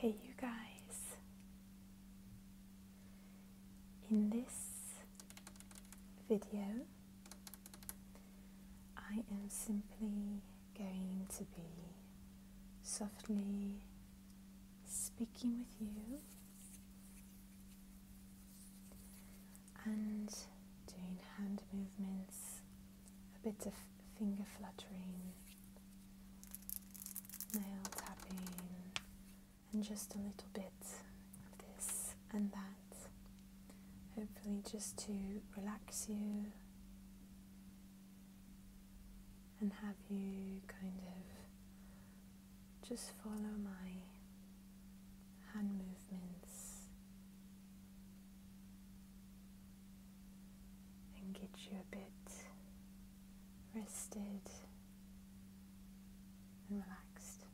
Hey, you guys. In this video, I am simply going to be softly speaking with you and doing hand movements, a bit of finger fluttering, nail tapping, and just a little bit of this and that. Hopefully, just to relax you and have you kind of just follow my hand movements and get you a bit rested and relaxed.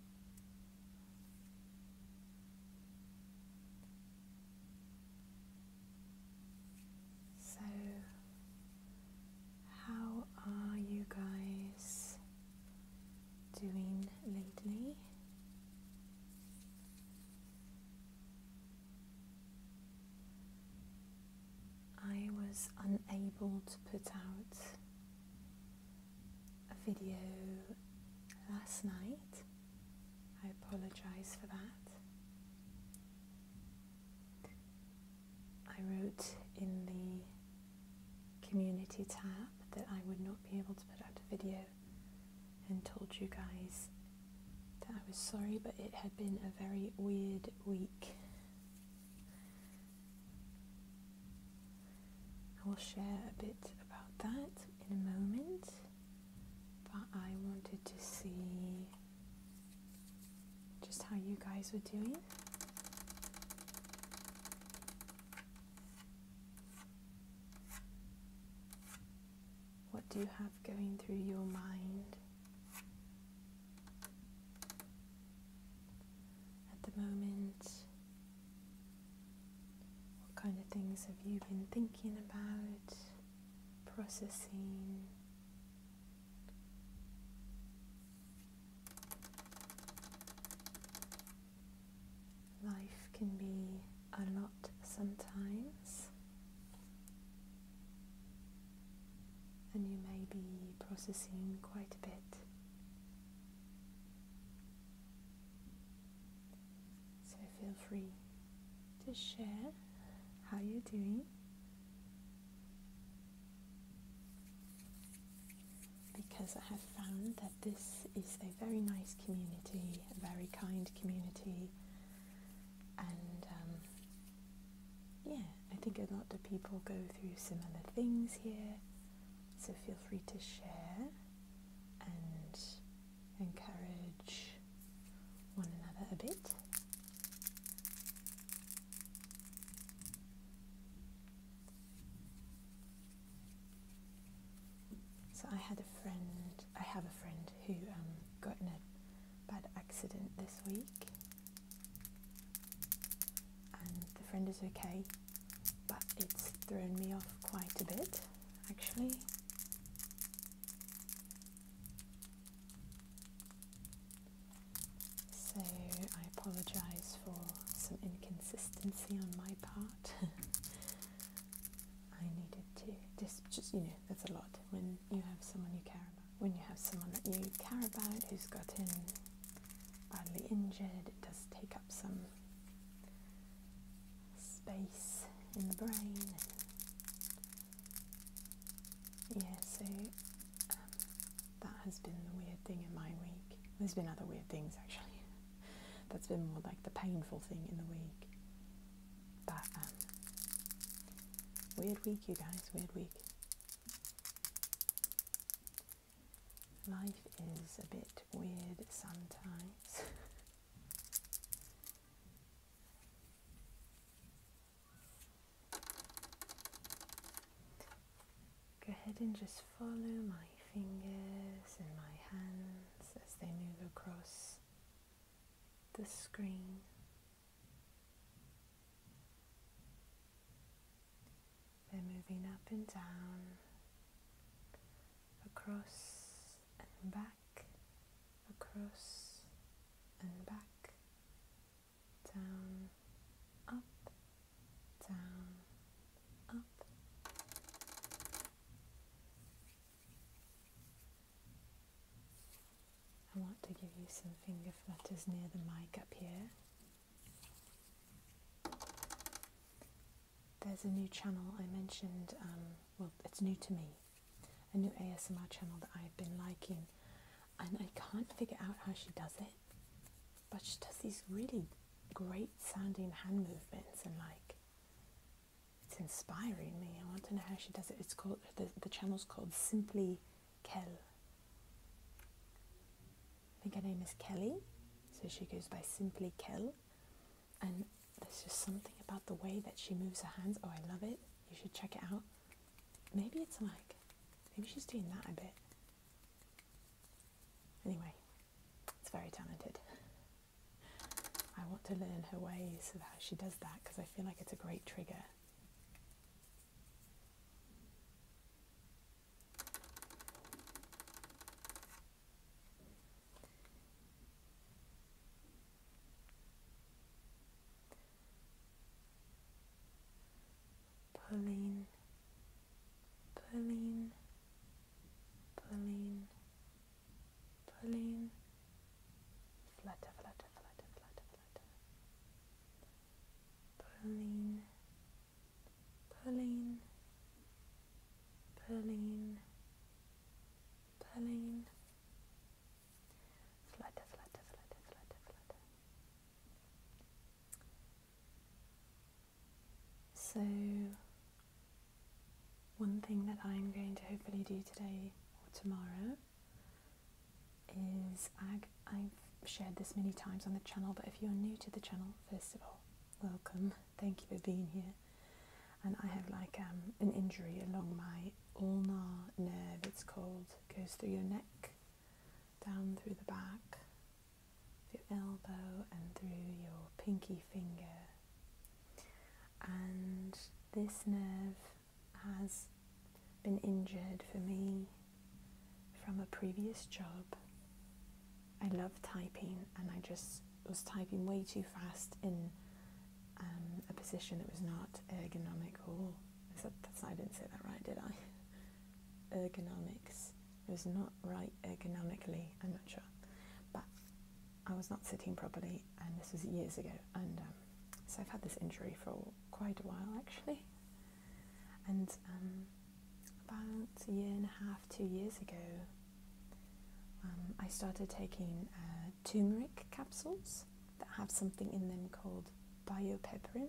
So, how are you guys doing lately. I was unable to put out a video last night. I apologise for that. I wrote in the community tab that I would not be able to put out a video and told you guys that I was sorry, but it had been a very weird week. I will share a bit about that in a moment, but I wanted to see just how you guys were doing. What do you have going through your mind? At the moment, what kind of things have you been thinking about, processing? Life can be a lot sometimes, and you may be processing quite a bit. So feel free to share how you're doing because I have found that this is a very nice community, a very kind community, and um, yeah, I think a lot of people go through similar things here, so feel free to share and encourage one another a bit. So I had a friend, I have a friend who um, got in a bad accident this week and the friend is okay but it's thrown me off quite a bit actually. So I apologise for some inconsistency on my part. I needed to just you know that's a lot when you have someone you care about when you have someone that you care about who's gotten badly injured it does take up some space in the brain yeah so um, that has been the weird thing in my week. There's been other weird things actually. That's been more like the painful thing in the week. But um, weird week, you guys. Weird week. Life is a bit weird sometimes. Go ahead and just follow my fingers and my hands as they move across the screen. They're moving up and down, across and back, across and back, down, up, down, up. I want to give you some finger flutters near the mic up here. There's a new channel I mentioned, um, well, it's new to me, a new ASMR channel that I've been liking, and I can't figure out how she does it, but she does these really great sounding hand movements and like it's inspiring me. I want to know how she does it. It's called the the channel's called Simply Kelly. I think her name is Kelly, so she goes by Simply Kelly. and there's just something about the way that she moves her hands. Oh, I love it. You should check it out. Maybe it's like, maybe she's doing that a bit. Anyway, it's very talented. I want to learn her ways so that she does that because I feel like it's a great trigger. Pauline, Pauline, Pauline, Pauline, flutter, flutter, flutter, flutter, flutter, pulling, pulling, pulling, pulling, so, one thing that I'm going to hopefully do today or tomorrow is I, have shared this many times on the channel, but if you're new to the channel, first of all, welcome. Thank you for being here. And I have like um, an injury along my ulnar nerve, it's called, it goes through your neck down through the back, your elbow, and through your pinky finger. And this nerve has been injured for me from a previous job. I love typing, and I just was typing way too fast in um, a position that was not ergonomic or I said that's, I didn't say that right, did I? Ergonomics. It was not right ergonomically, I'm not sure. But I was not sitting properly, and this was years ago. And um, so I've had this injury for quite a while actually. And um, about a year and a half, two years ago, um, I started taking uh, turmeric capsules that have something in them called biopeperin,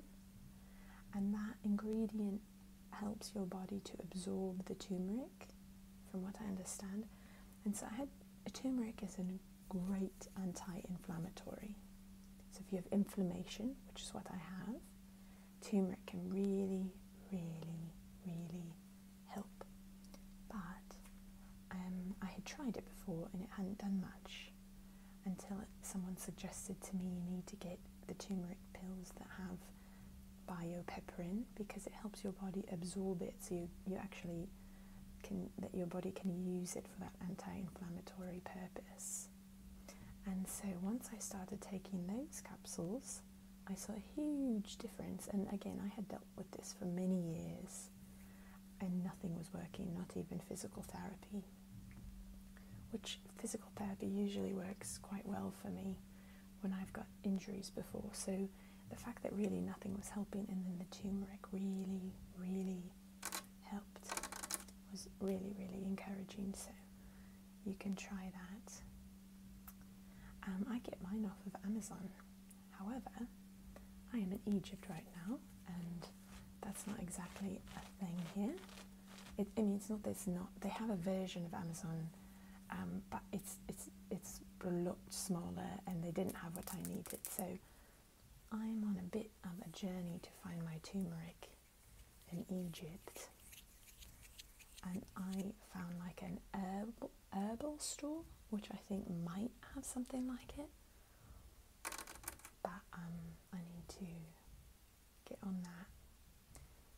and that ingredient helps your body to absorb the turmeric, from what I understand. And so I had a turmeric is a great anti-inflammatory. So if you have inflammation, which is what I have, turmeric can really, really, really help. But um, I had tried it before and it hadn't done much until someone suggested to me you need to get the turmeric pills that have biopepperin because it helps your body absorb it so you, you actually can that your body can use it for that anti-inflammatory purpose and so once I started taking those capsules I saw a huge difference and again I had dealt with this for many years and nothing was working, not even physical therapy. Which physical therapy usually works quite well for me when I've got injuries before. So the fact that really nothing was helping and then the turmeric really, really helped was really, really encouraging. So you can try that. Um, I get mine off of Amazon. However, I am in Egypt right now, and that's not exactly a thing here. I mean, it's not. It's not. They have a version of Amazon, um, but it's it's it's a lot smaller, and they didn't have what I needed. So I'm on a bit of a journey to find my turmeric in Egypt, and I found like an herbal herbal store, which I think might have something like it but um, I need to get on that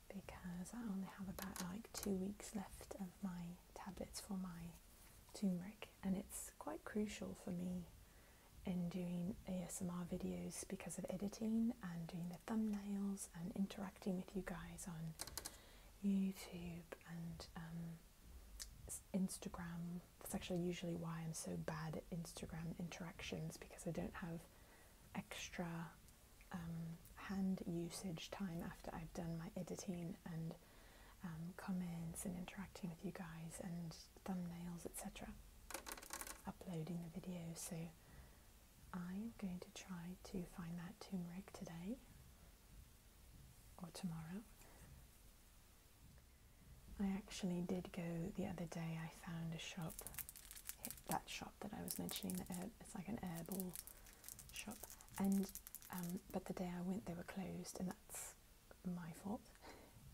because I only have about like two weeks left of my tablets for my turmeric, and it's quite crucial for me in doing ASMR videos because of editing and doing the thumbnails and interacting with you guys on YouTube and um, Instagram that's actually usually why I'm so bad at Instagram interactions because I don't have extra um, hand usage time after I've done my editing and um, comments and interacting with you guys and thumbnails, etc. Uploading the video, so I'm going to try to find that turmeric today or tomorrow. I actually did go the other day. I found a shop, that shop that I was mentioning. It's like an herbal shop, and um, but the day I went, they were closed, and that's my fault.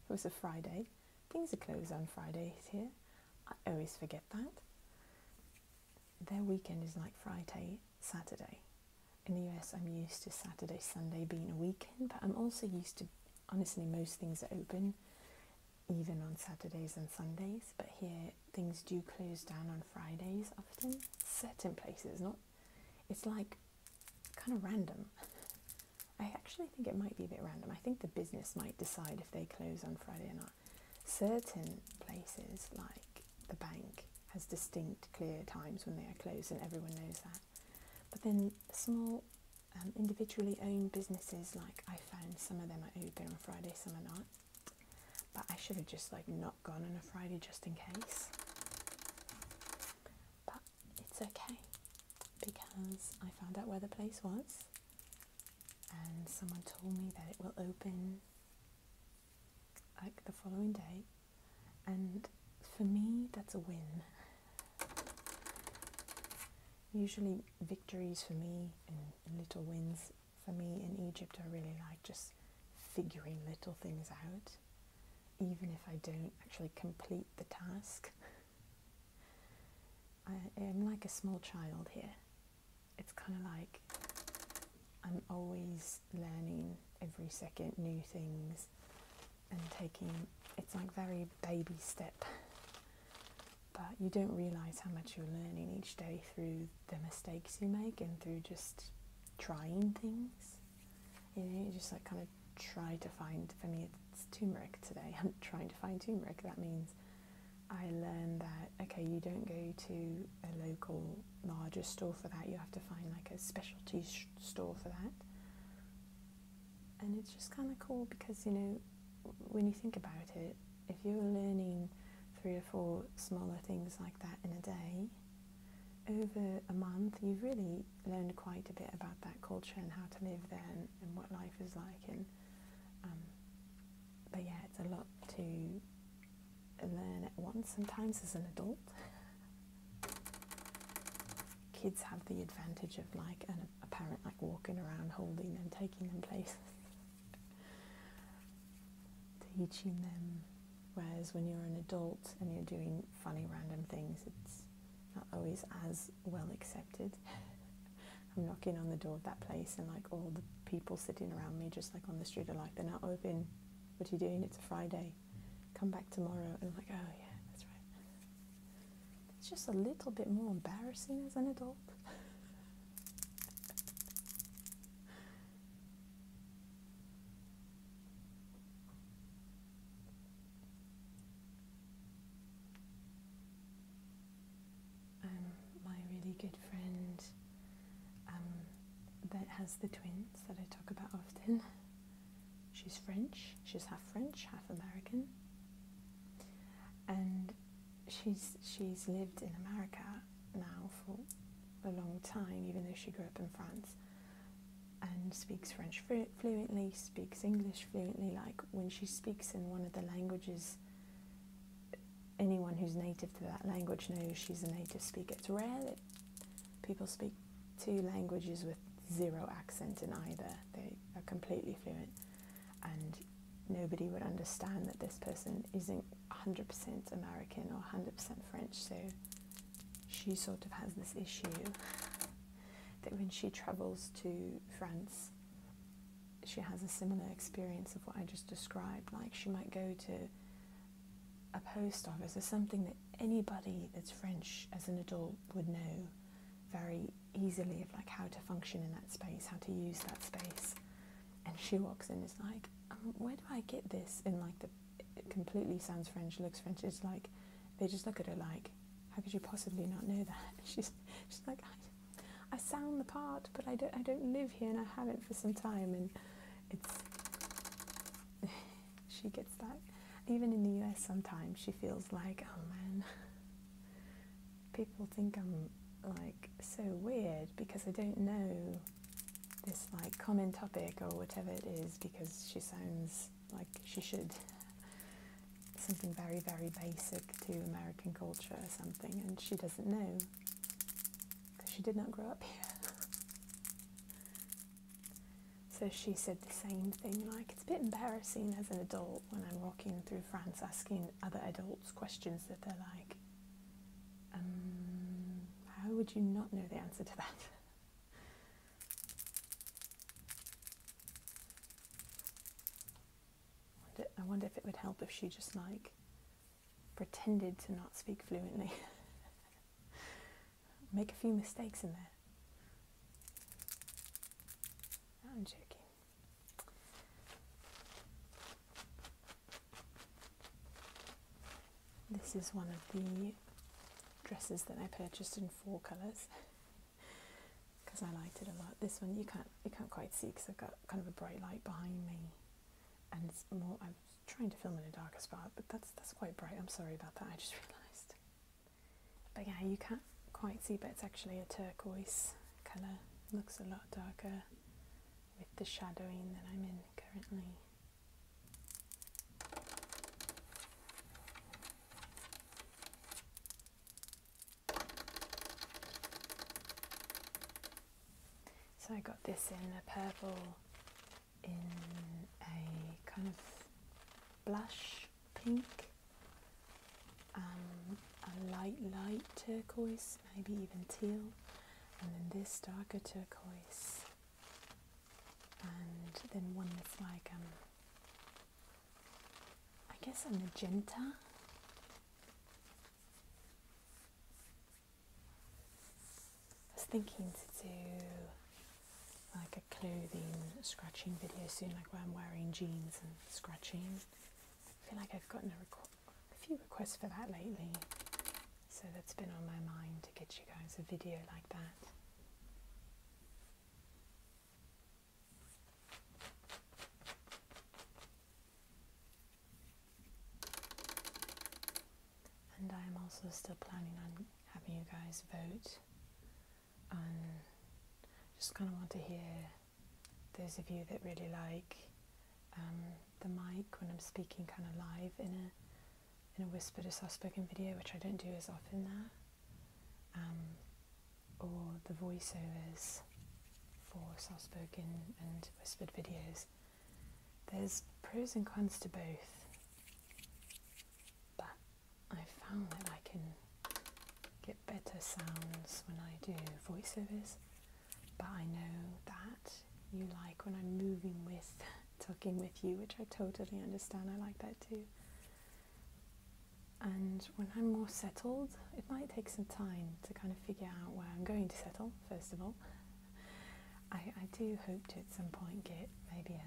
It was a Friday. Things are closed on Fridays here. I always forget that. Their weekend is like Friday, Saturday in the US, I'm used to Saturday, Sunday being a weekend, but I'm also used to honestly, most things are open even on Saturdays and Sundays, but here things do close down on Fridays often, certain places, not it's like kind of random. I actually think it might be a bit random. I think the business might decide if they close on Friday or not. Certain places like the bank has distinct, clear times when they are closed, and everyone knows that. But then small, um, individually owned businesses, like I found some of them are open on Friday, some are not. But I should have just like not gone on a Friday just in case. But it's okay because I found out where the place was, and someone told me that it will open like the following day and for me that's a win. Usually victories for me and little wins for me in Egypt I really like just figuring little things out even if I don't actually complete the task. I am like a small child here. It's kind of like I'm always learning every second new things and taking it's like very baby step but you don't realize how much you're learning each day through the mistakes you make and through just trying things you know you just like kind of try to find for me it's turmeric today i'm trying to find turmeric that means i learned that okay you don't go to a local Largest store for that. You have to find like a specialty store for that. And it's just kind of cool because, you know, when you think about it, if you're learning three or four smaller things like that in a day, over a month, you've really learned quite a bit about that culture and how to live there and, what life is like. And um, but yeah, it's a lot to and then at once sometimes as an adult. Kids have the advantage of like an, a parent like walking around holding them, taking them places, teaching them. Whereas when you're an adult and you're doing funny random things, it's not always as well accepted. I'm knocking on the door of that place and like all the people sitting around me just like on the street are like they're not open what are you doing? It's a Friday. Come back tomorrow. And I'm like, oh, yeah, that's right. It's just a little bit more embarrassing as an adult. um, my really good friend um, that has the twins that I talk about often. She's French, she's half French, half American. And she's, she's lived in America now for a long time, even though she grew up in France, and speaks French fluently, speaks English fluently. Like when she speaks in one of the languages, anyone who's native to that language knows she's a native speaker. It's rare that people speak two languages with zero accent in either. They are completely fluent, and nobody would understand that this person isn't 100% American or 100% French. So she sort of has this issue that when she travels to France, she has a similar experience of what I just described. Like she might go to a post office is something that anybody that's French as an adult would know very easily of like how to function in that space, how to use that space. And she walks in, is like, um, where do I get this? And like it completely sounds French, looks French. It's like they just look at her like, how could you possibly not know that? She's like, I, I sound the part, but I don't I don't live here and I haven't for some time and it's she gets that. Even in the US sometimes she feels like, oh man people think I'm like so weird because I don't know this like common topic or whatever it is because she sounds like she should something very very basic to American culture or something and she doesn't know because she did not grow up here. So she said the same thing, like, it's a bit embarrassing as an adult when I'm walking through France asking other adults questions that they're like, um, how would you not know the answer to that? I wonder if it would help if she just like pretended to not speak fluently. Make a few mistakes in there. I'm joking. This is one of the dresses that I purchased in four colours because I liked it a lot. This one you can't you can't quite see because I've got kind of a bright light behind me and more. I'm trying to film in a darker spot, but that's that's quite bright. I'm sorry about that. I just realised. But yeah, you can't quite see, but it's actually a turquoise colour. Looks a lot darker with the shadowing that I'm in currently. So I got this in a purple, in a kind of blush pink, um, a light, light turquoise, maybe even teal, and then this darker turquoise, and then one that's like, um, I guess a magenta. I was thinking to do like a clothing scratching video soon, like where I'm wearing jeans and scratching. I feel like I've gotten a, few requests for that lately, so that's been on my mind to get you guys a video like that. And I'm also still planning on having you guys vote on just kind of want to hear those of you that really like um, the mic when I'm speaking kind of live in a in a whispered or soft spoken video, which I don't do as often now. Um, or the voiceovers for soft spoken and whispered videos, there's pros and cons to both. But I found that I can get better sounds when I do voiceovers, but I know that you like when I'm moving with, talking with you, which I totally understand. I like that too. And when I'm more settled, it might take some time to kind of figure out where I'm going to settle, first of all. I, I do hope to at some point get maybe a,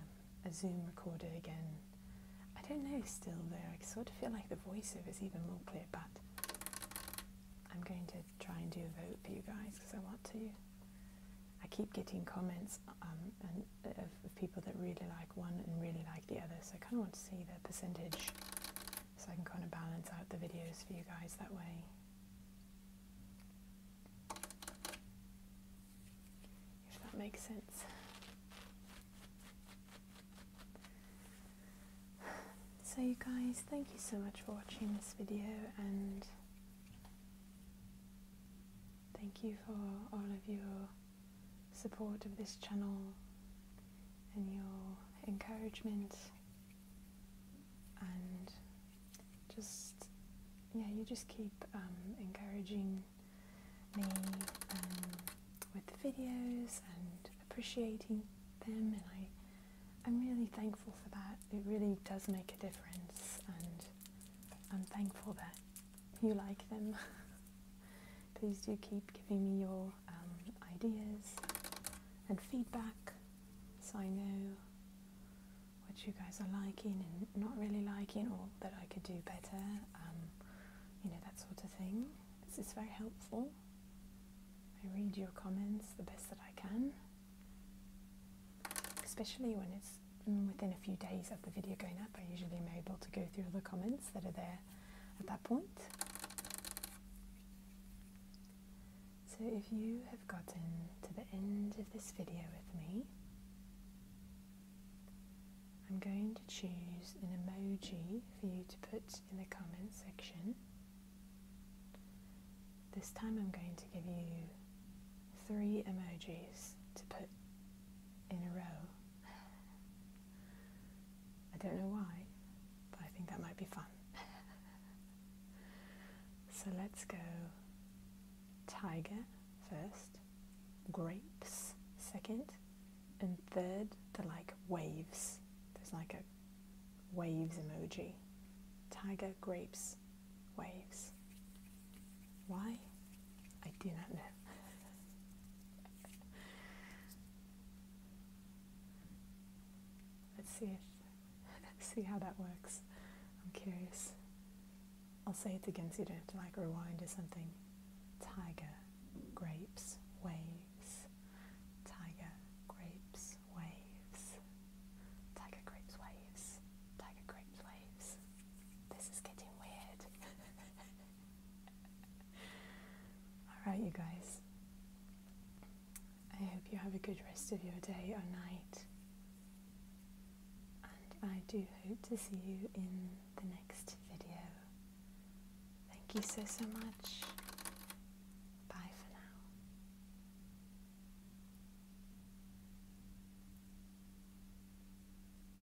Zoom recorder again. I don't know still though, I sort of feel like the voiceover is even more clear, but I'm going to try and do a vote for you guys because I want to. I keep getting comments um, uh, of people that really like one and really like the other, so I kind of want to see the percentage so I can kind of balance out the videos for you guys that way. If that makes sense. So you guys, thank you so much for watching this video and thank you for all of your support of this channel and your encouragement and just yeah you just keep um, encouraging me um, with the videos and appreciating them and I I'm really thankful for that it really does make a difference and I'm thankful that you like them Please do keep giving me your um, ideas and feedback so I know what you guys are liking and not really liking or that I could do better, um, you know, that sort of thing. It's, it's very helpful. I read your comments the best that I can, especially when it's mm, within a few days of the video going up. I usually am able to go through all the comments that are there at that point. So if you have gotten to the end of this video with me, I'm going to choose an emoji for you to put in the comments section. This time I'm going to give you three emojis to put in a row. I don't know why, but I think that might be fun. so let's go tiger first, grapes second, and third they're like waves. There's like a waves emoji. Tiger, grapes, waves. Why? I do not know. Let's see if, let's see how that works. I'm curious. I'll say it again so you don't have to like rewind or something. Tiger, grapes, waves. Tiger, grapes, waves. Tiger, grapes, waves. Tiger, grapes, waves. This is getting weird. Alright, you guys. I hope you have a good rest of your day or night. And I do hope to see you in the next video. Thank you so, so much. Bye for now.